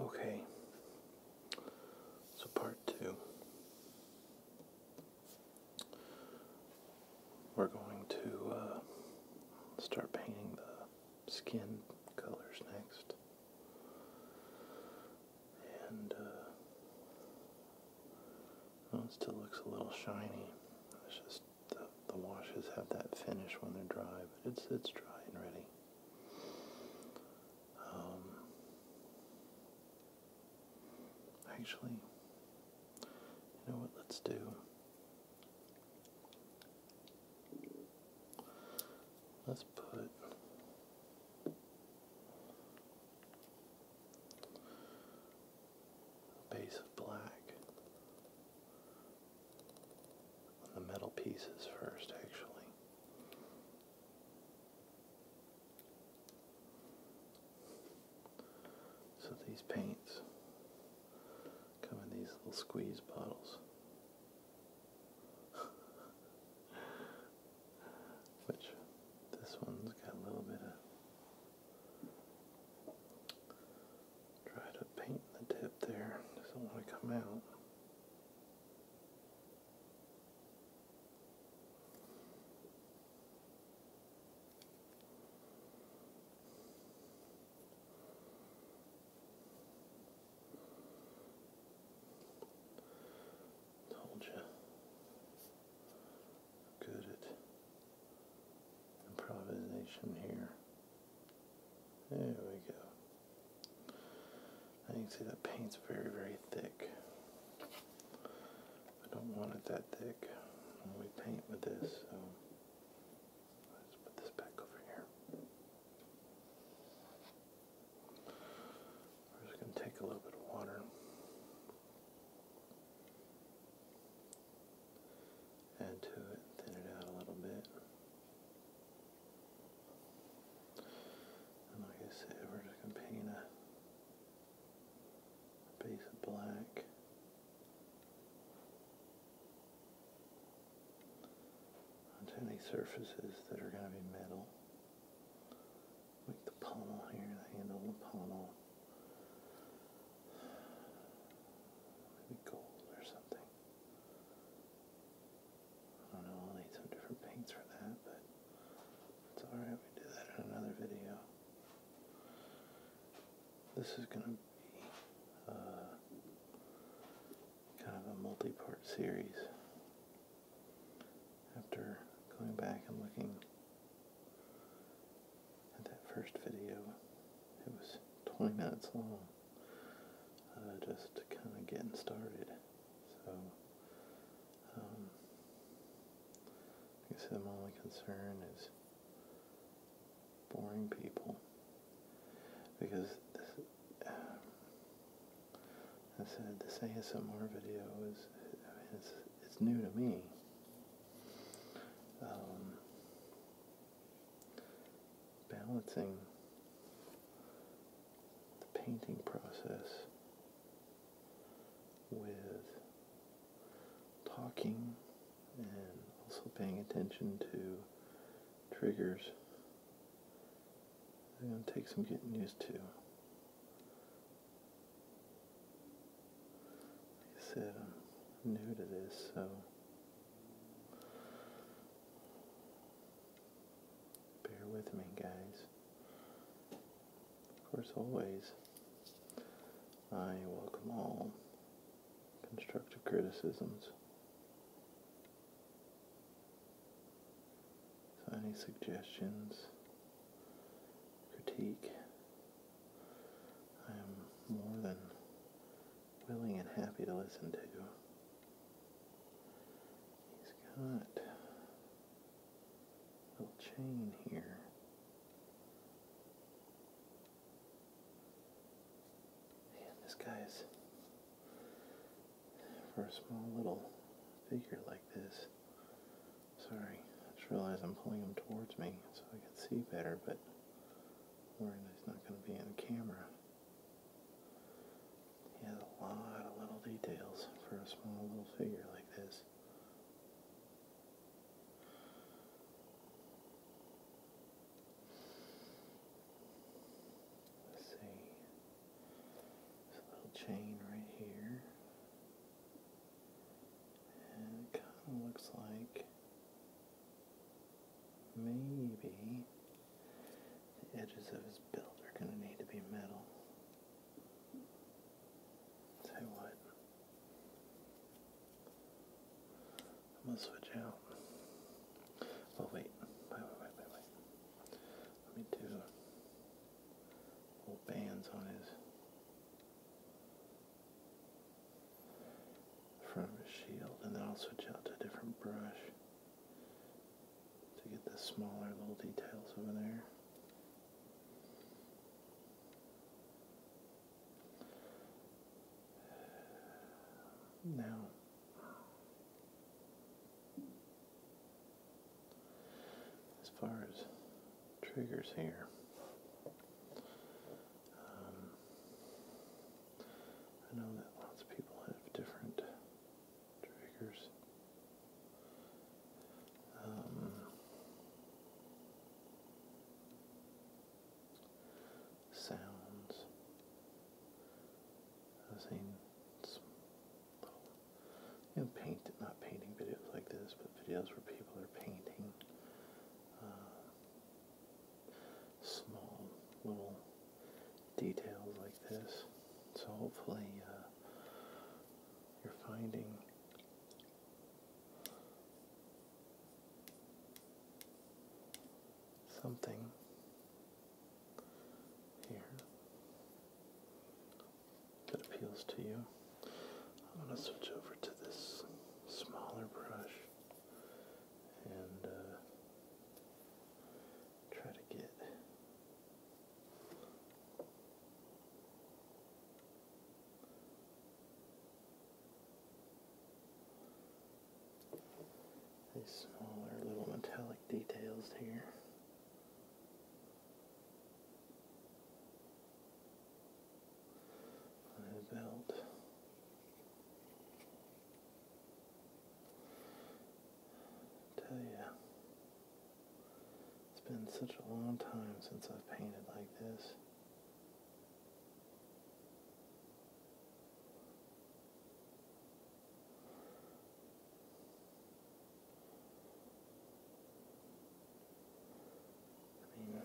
Okay, so part two. We're going to uh, start painting the skin colors next. And uh, oh, still looks a little shiny. It's just the, the washes have that finish when they're dry, but it's it's dry and ready. Um, actually, you know what? Let's do. Let's put. A base of black the metal pieces first, actually. So these paints come in these little squeeze bottles. Which this one's got a little bit of Try to paint the tip there. Doesn't want to come out. Told you. Good at improvisation here. There we go. And you can see that paint's very, very thick. I don't want it that thick when we paint with this, let's put this back over here. We're just going to take a little bit of water. Add to it, thin it out a little bit. And like I said, we're just going to paint a, a piece of black. Onto any surfaces that are going to be metal, like the pommel here, the handle the pommel, maybe gold or something. I don't know, I'll need some different paints for that, but it's alright, we do that in another video. This is going to be uh, kind of a multi-part series. After going back and looking at that first video, it was 20 minutes long, uh, just kind of getting started. So, um, I guess the only concern is boring people because this, um, I said this ASMR video is I mean, it's, it's new to me. Um, balancing the painting process with talking and also paying attention to triggers It going take some getting used to. Like I said, I'm new to this, so Bear with me, guys. Of course, always, I welcome all constructive criticisms. any suggestions, critique, I am more than willing and happy to listen to. He's got a little chain here. And this guy's, for a small little figure like this, sorry, I just realized I'm pulling him towards me so I can see better, but Warren it's not going to be in the camera. He has a lot of little details for a small little figure like this. Let's see. This little chain right here. And kind of looks like Maybe the edges of his belt are going to need to be metal. Say what? I'm going to switch out. Oh, wait. Wait, wait, wait, wait, Let me do little bands on his from the shield, and then I'll switch out to a different brush to get the smaller little details over there. Now, as far as triggers here, um, I know that lots of people have different triggers. Um, sounds. I've seen you know, paint, not painting videos like this, but videos where people are painting. Uh, small little details like this. So hopefully uh, you're finding something here that appeals to you. I'm going to switch over to this smaller brush and uh, try to get these smaller little metallic details here tell you, it's been such a long time since I've painted like this. I mean,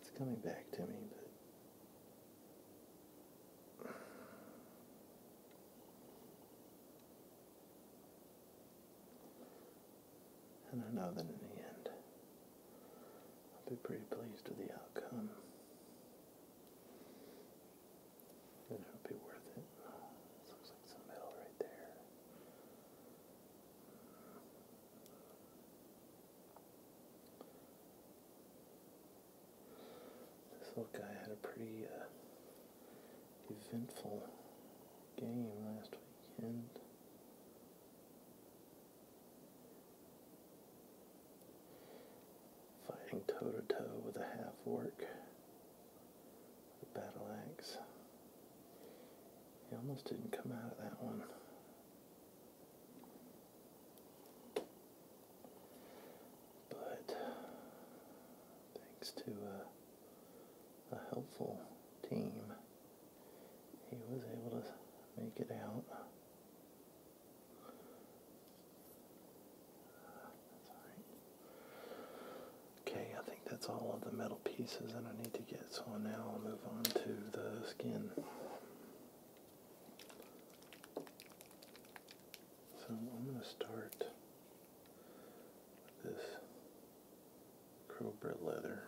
it's coming back to me, but. And I know that in the end, I'll be pretty pleased with the outcome. And it'll be worth it. looks like some metal right there. This little guy had a pretty uh, eventful game last weekend. Fighting toe to toe with a half orc, the battle axe. He almost didn't come out of that one. But thanks to uh, a, helpful team, he was able to make it out. Okay, I think that's all of the metal pieces that I need to get, so now I'll move on to the skin. So I'm going to start with this cobra leather.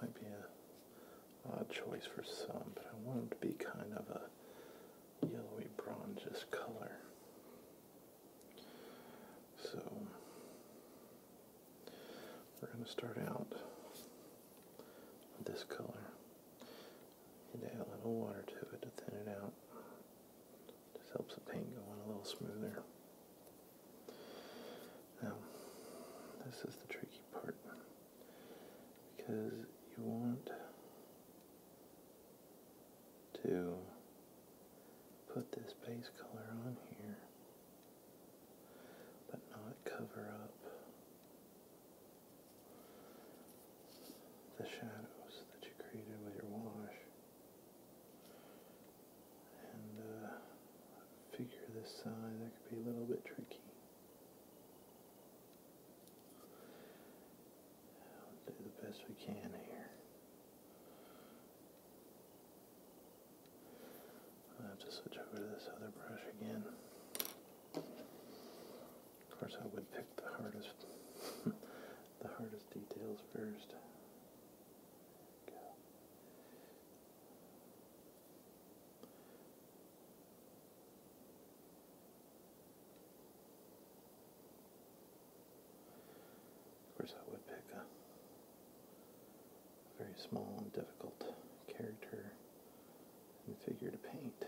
Might be a odd choice for some, but I want it to be kind of a yellowy bronzish color. So we're going to start out with this color and add a little water to it to thin it out. Just helps the paint go on a little smoother. Now, this is the tricky part because you want to put this base color on here but not cover up the shadows that you created with your wash and uh, figure this side that could be a little bit tricky do the best we can here I have to switch over to this other brush again. Of course, I would pick the hardest, the hardest details first. Go. Of course, I would pick a very small and difficult character and figure to paint.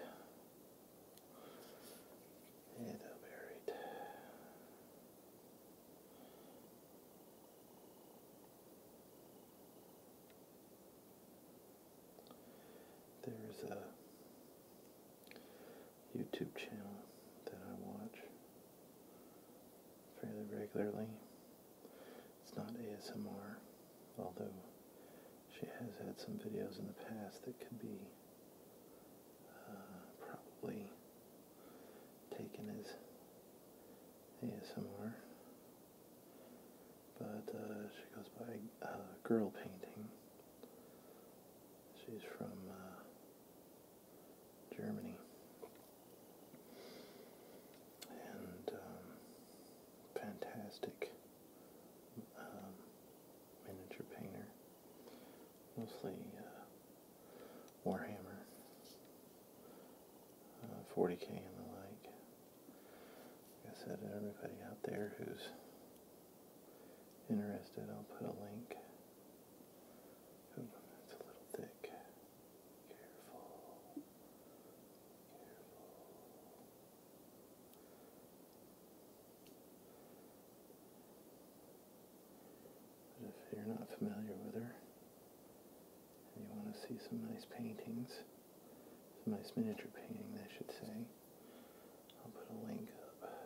Yeah, that'll There's a YouTube channel that I watch fairly regularly. It's not ASMR, although she has had some videos in the past that could be uh, probably taken as ASMR. But uh, she goes by uh, Girl Painting. She's from Germany. And um, fantastic um, miniature painter, mostly uh, Warhammer, 40k uh, and the like. Like I said, everybody out there who's interested, I'll put a link Ooh, a little thick. Careful. Careful. if you're not familiar with her and you want to see some nice paintings, some nice miniature painting, I should say, I'll put a link up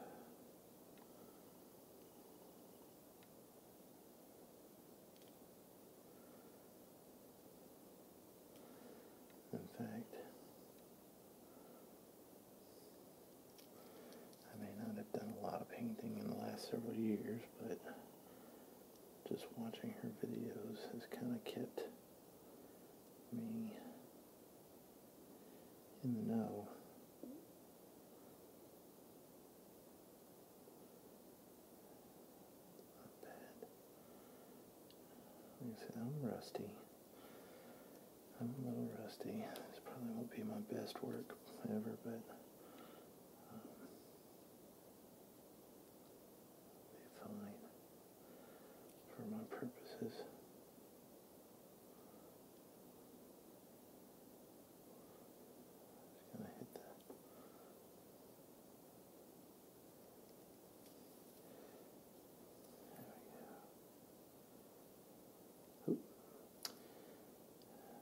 in fact, I may not have done a lot of painting in the last several years, but just watching her videos has kind of kept me in the know not bad. I said, I'm rusty. I'm a little rusty. This probably won't be my best work ever, but um, be fine for my purposes. Gonna hit that. There we go. Ooh.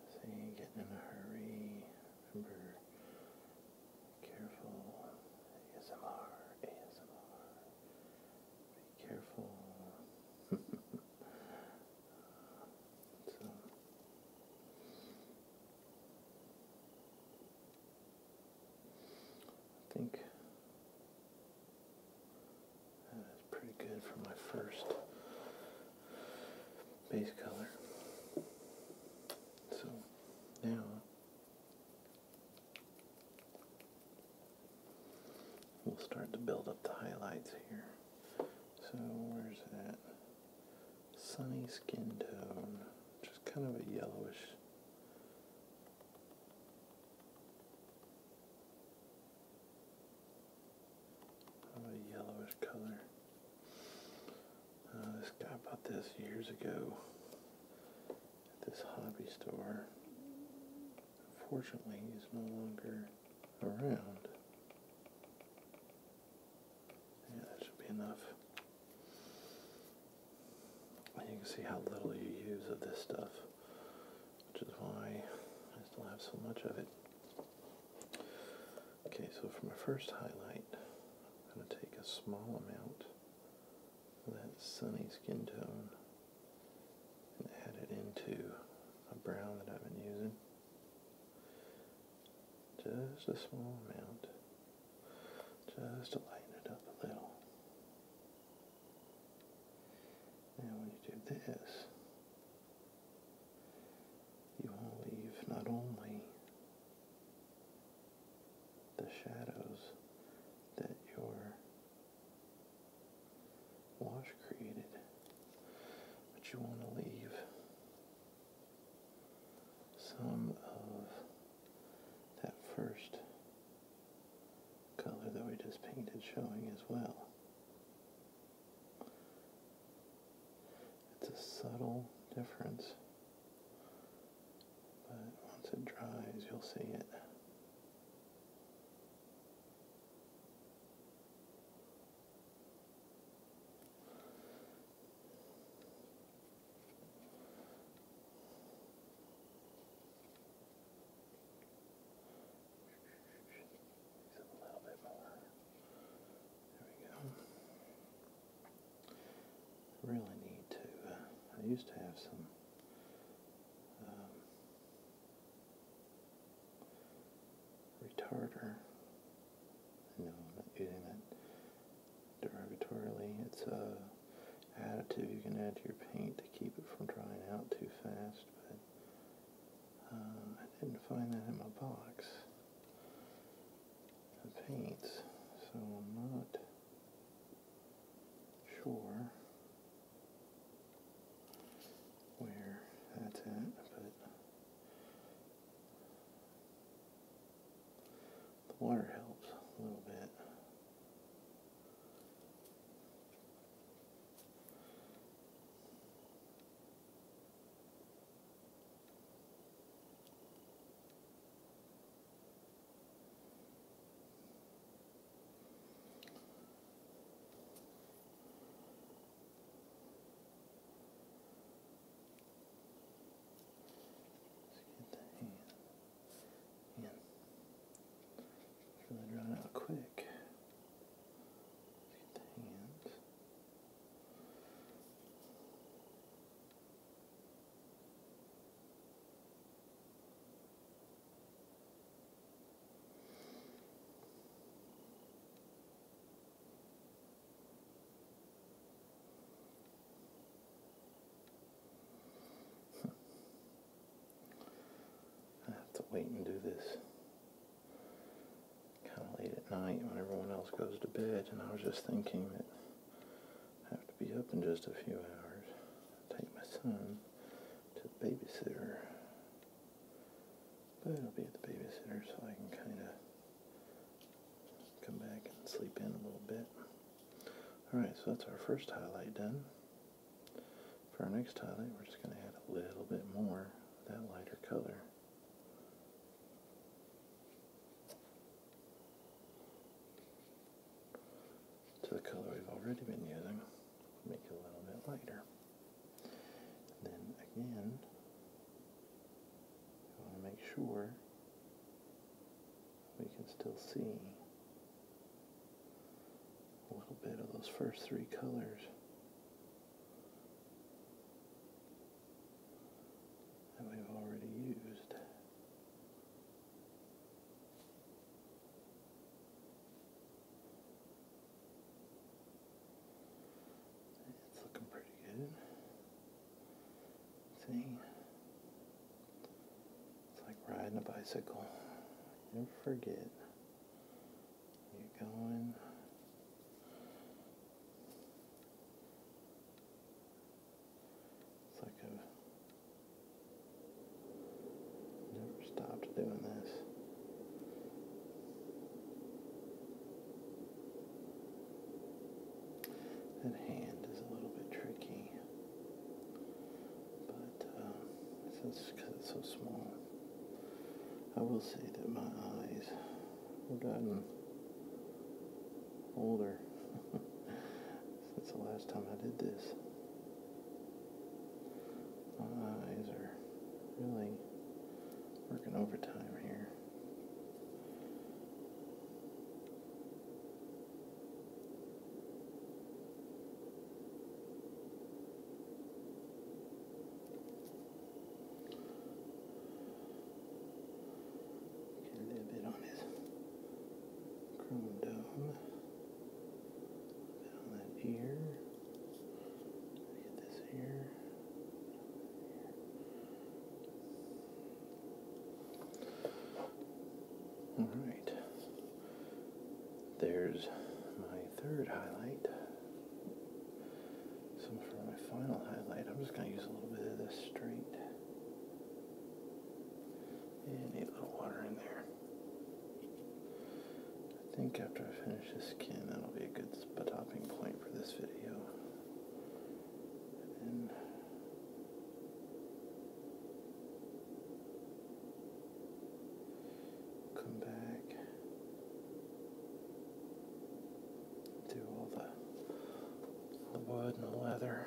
So you ain't getting in a hurry. Remember, careful. ASMR, ASMR. Be careful. I think that is pretty good for my first base color. So now We'll start to build up the highlights here. So where's that? Sunny skin tone, just kind of a yellowish. a yellowish color. Uh, this guy bought this years ago at this hobby store. Unfortunately, he's no longer around. Yeah, that should be enough. you can see how little you use of this stuff, which is why I still have so much of it. Okay, so for my first highlight, I'm going to take a small amount of that sunny skin tone and add it into a brown that I've been using. Just a small amount, just to lighten it up a little. Now when you do this, you will leave not only the shadows that your Wash created, but you want to leave some of that first color that we just painted showing as well. It's a subtle difference, but once it dries, you'll see it. A little bit more. There we go. Really need to. Uh, I used to have some um, retarder. I'm using that derogatorily. It's a additive you can add to your paint to keep it from drying out too fast, but uh, I didn't find that in my box of paints, so I'm not sure where that's at, but the water helps a little bit. Let's get the hand in. It's really drawn out quick. Let's get the hand. I have to wait and do this kind of late at night when everyone else goes to bed, and I was just thinking that have to be up in just a few hours. Take my son to the babysitter. But i will be at the babysitter so I can kind of come back and sleep in a little bit. Alright, so that's our first highlight done. For our next highlight, we're just going to add a little bit more of that lighter color to the color we've already been using, make it a little bit lighter. then again, I want to make sure we can still see a little bit of those first three colors. that we've already used. It's looking pretty good. See? It's like riding a bicycle. never forget. You're going it's like I've never stopped doing this. That hand is a little bit tricky, but uh, since because it's so small, I will say that my eyes have gotten older. That's the last time I did this. My eyes are really working overtime here. Get a bit on his here. Get this here. Alright. There's my third highlight. So for my final highlight, I'm just going to use a little bit of this straight. And little water in there. I think after I finish this skin, that'll be a good stopping point for this video. come back, do all the wood and the leather.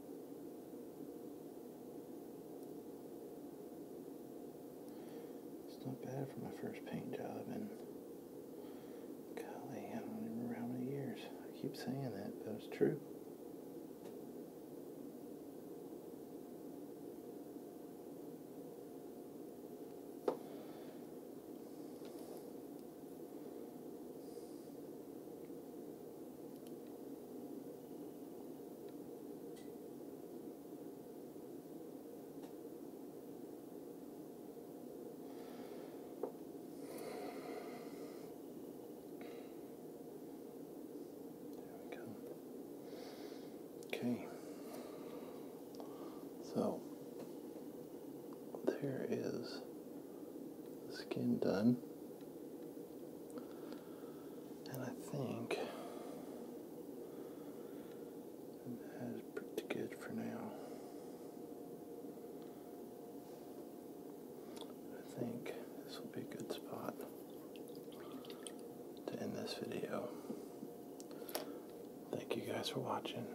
It's not bad for my first paint job, and golly, I don't remember how many years. I keep saying that, but it's true. There we go. Okay. So there is the skin done. And I think that is pretty good for now. I think this will be a good spot to end this video. Thank you guys for watching.